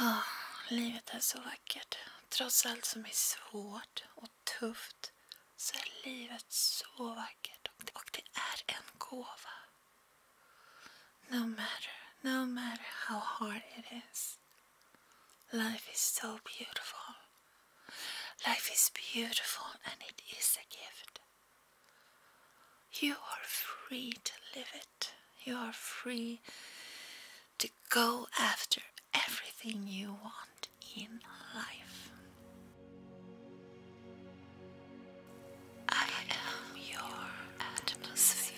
Oh, livet är så vackert. Trots allt som är svårt och tufft så är livet så vackert och det, och det är en gåva. No matter, no matter how hard it is. Life is so beautiful. Life is beautiful and it is a gift. You are free to live it. You are free to go after everything you want in life. I am your atmosphere.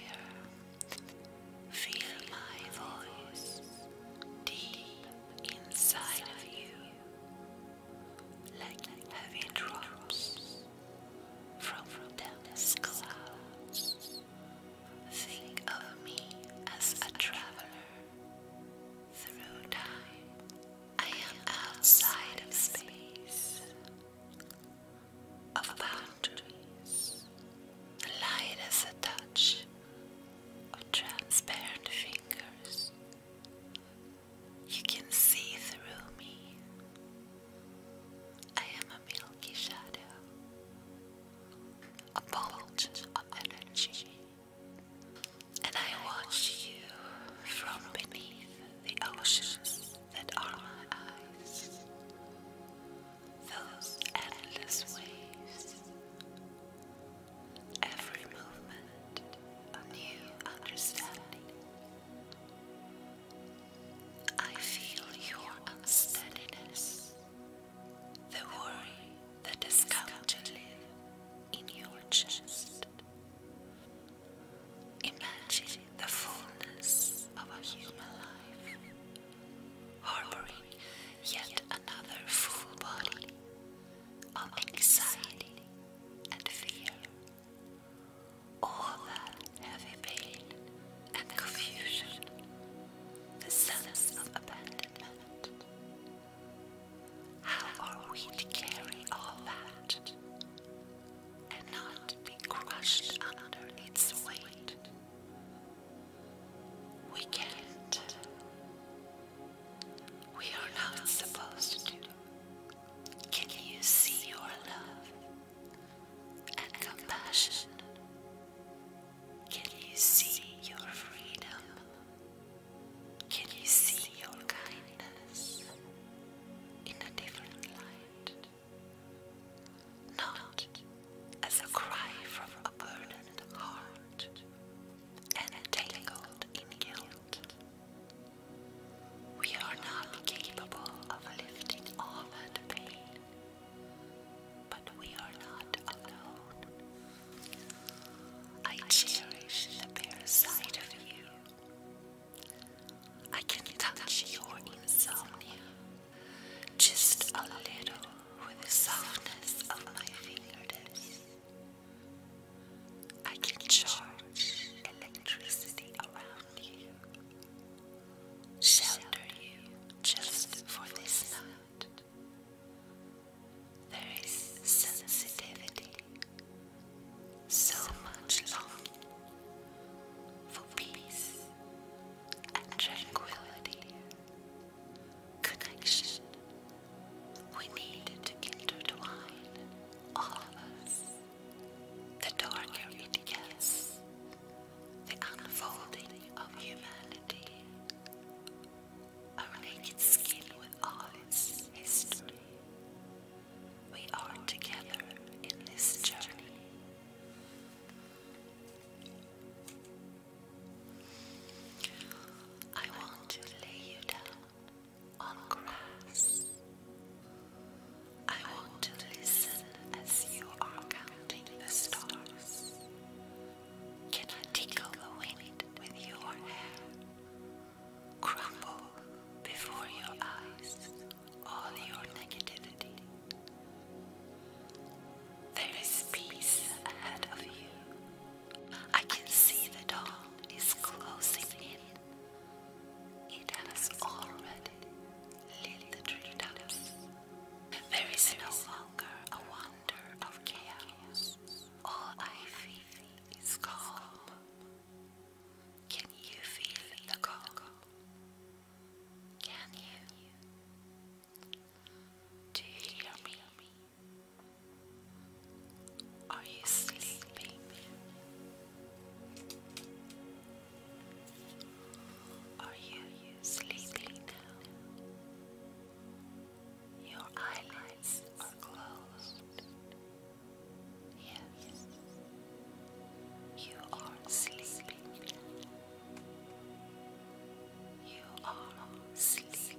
Feel my voice deep inside of you like heavy drops from dense clouds. Think of me as a traveler through time. I am outside of space, of boundaries. light is a touch of transparent fingers. You can see through me. I am a milky shadow, a bolt of energy, and I watch you from beneath the oceans that are my eyes. Those endless waves, every movement, a new understanding. I feel your unsteadiness, the worry that has come to live in your chest. Imagine the fullness of a human life, harboring yet another full body of anxiety and fear. All the heavy pain and confusion, the sense of abandonment. How are we to carry all that and not be crushed under its weight? We can't. We are not supposed to. Can you see your love? and compassion. Can you see your freedom? Can you see your kindness in a different light? Not as a cry from a burdened heart and tangled in guilt, we are not capable of lifting all the pain, but we are not alone. I cherish the bare side of you. I can touch your insomnia just a little with the softness of my fingertips. I can charge electricity around shelter you just for this night. There is sensitivity, so much long for peace and tranquility, connection. We need to intertwine all of us the darker it gets, the unfolding of humanity, our naked skin with all its history. We are together in this journey. I want to lay you down on grass. I want to listen as you are counting the stars. Can I tickle the wind with your hair? Crumble before your eyes all your negativity. There is peace ahead of you. I can see the dawn is closing in. It has already lit the tree treetops. There is no longer a wonder of chaos. All I feel is calm. Can you feel the calm? Can you? Do you hear me? Are you sleeping? Are you sleeping now? Your eyelids are closed. Yes, you are sleeping. You are sleeping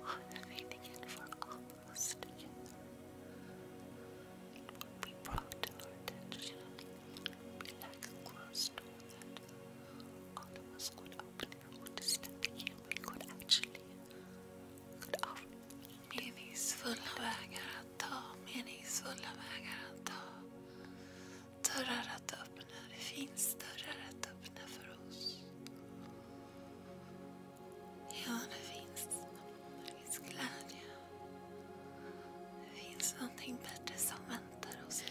honouring it for almost a It will be brought We could open and would step in. We could actually could offer meningsfulla vägar att ta, meningsfulla Det finns dörrar att öppna för oss. Ja, det finns. glädje. Det finns någonting bättre som väntar oss.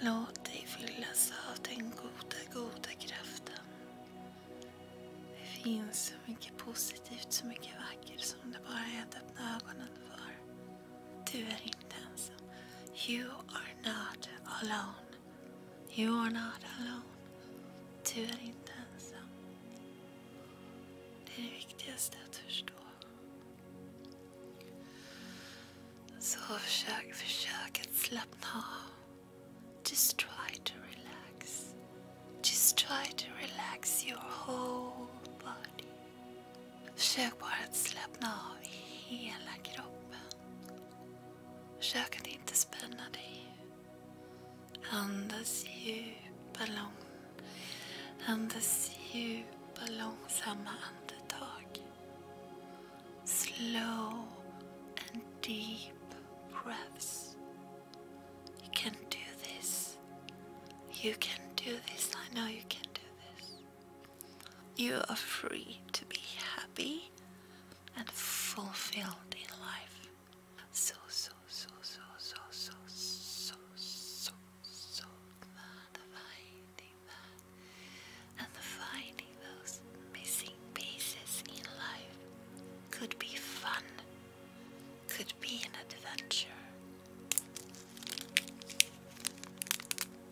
Låt dig fyllas av den goda, goda kraften. Det finns så mycket positivt, så mycket vackert som det bara är att öppna ögonen för. Du är inte ensam. You are not alone. You are not alone. Du är inte ensam. Det är det viktigaste att förstå. Så försök, försök att slappna av. Just try to relax. Just try to relax your whole body. Försök bara att slappna av i hela kroppen. Försök att inte spänna dig. Andas djupa, lång, andas djupa långsamma andetag. Slow and deep breaths. You can do this. You can do this. I know you can do this. You are free to be happy and fulfilled in life. So, so, so, so, so, so, so, so, so glad finding that. And finding those missing pieces in life could be fun, could be an adventure.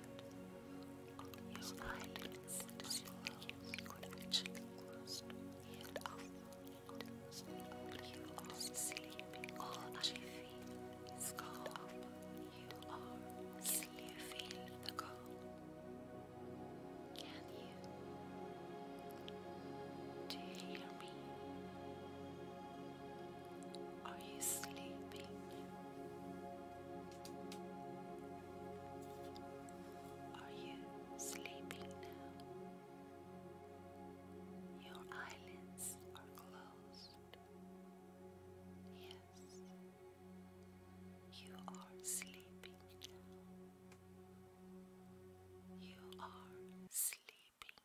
You are sleeping on my feet, is gone You are, can the cold? Can you? Do you hear me? Are you sleeping? Are you sleeping now? Your eyelids are closed. Yes, you are sleeping You are sleeping.